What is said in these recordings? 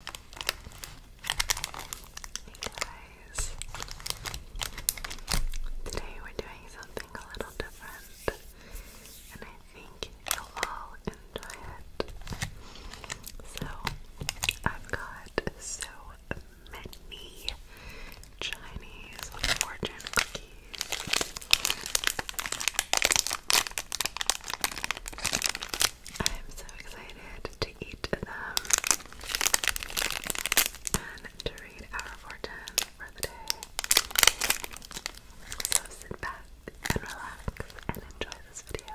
Hey guys! Today we're doing something a little different and I think you'll all enjoy it. So, I've got so many Chinese fortune cookies. I am so excited to eat them and to read our fortune for the day. So sit back and relax and enjoy this video.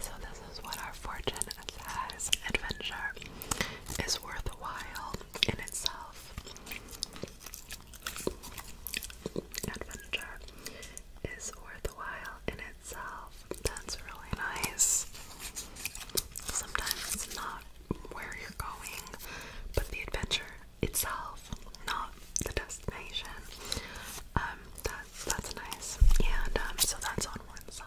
So, this is what our fortune says adventure is worthwhile in itself. Adventure is worthwhile in itself. That's really nice. Sometimes it's not where you're going, but the adventure itself, not the destination. Um, that's that's nice. And um, so that's on one side.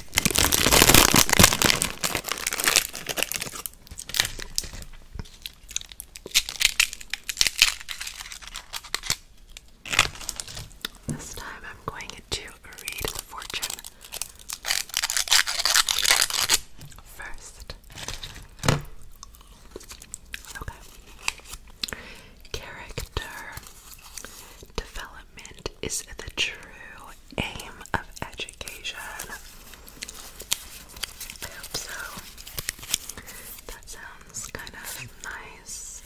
This time I'm going to read the fortune first. Okay. Character development is the true aim of education. I hope so. That sounds kind of nice.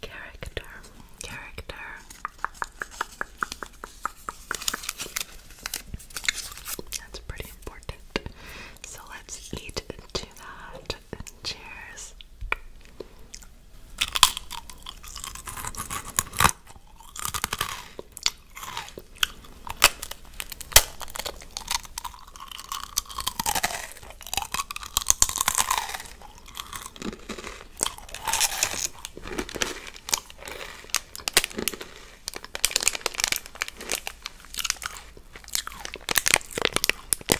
Character, character. That's pretty important. So let's eat to that first. Cheers.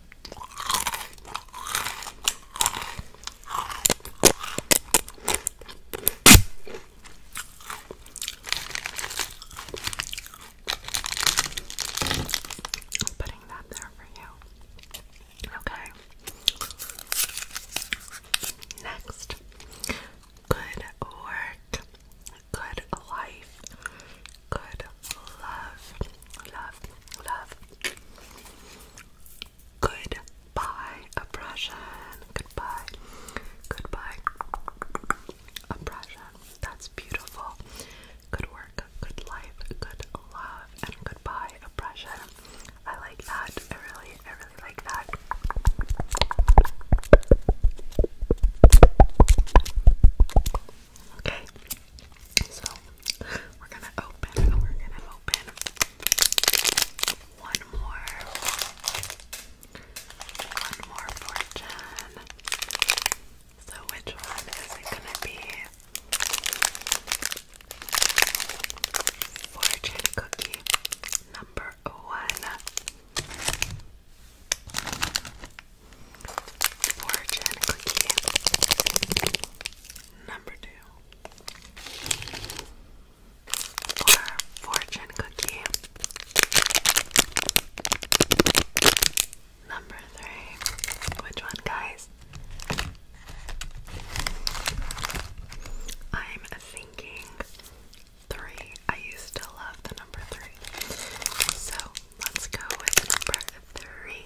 I'm putting that there for you. Okay. Next, good work, good life, good love, love, love. Goodbye, oppression. Goodbye, goodbye, oppression. That's beautiful. Good work, good life, good love, and goodbye, oppression. I like that. I really, I really like that. Okay, so we're gonna open, we're gonna open one more, one more fortune. So, which one is it gonna be? Fortune cookie number one. Origin cookie. Number two. Or fortune cookie. Number three. Which one, guys? I'm thinking three. I used to love the number three. So Let's go with number three.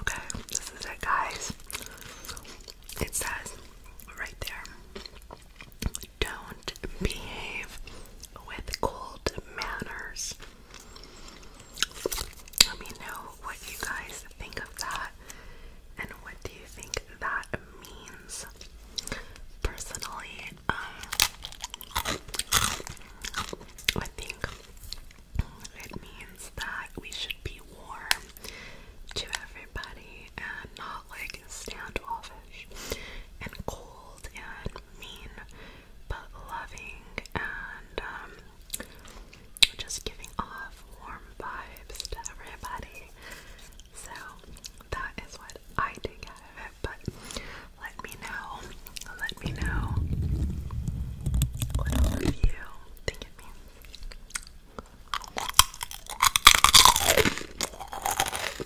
Okay, this is it, guys. It says right there don't behave with cold manners. Let me know what you guys think of that and what do you think that means. Personally, um, I think it means that we should be warm to everybody and not like standoffish and cold and mean, but loving and um, just giving off warm vibes to everybody. So that is what I did get of but let me know. Let me know what all of you think it means. Thank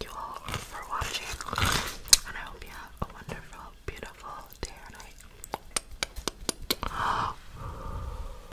you all for watching, and I hope you have a wonderful, beautiful day or night.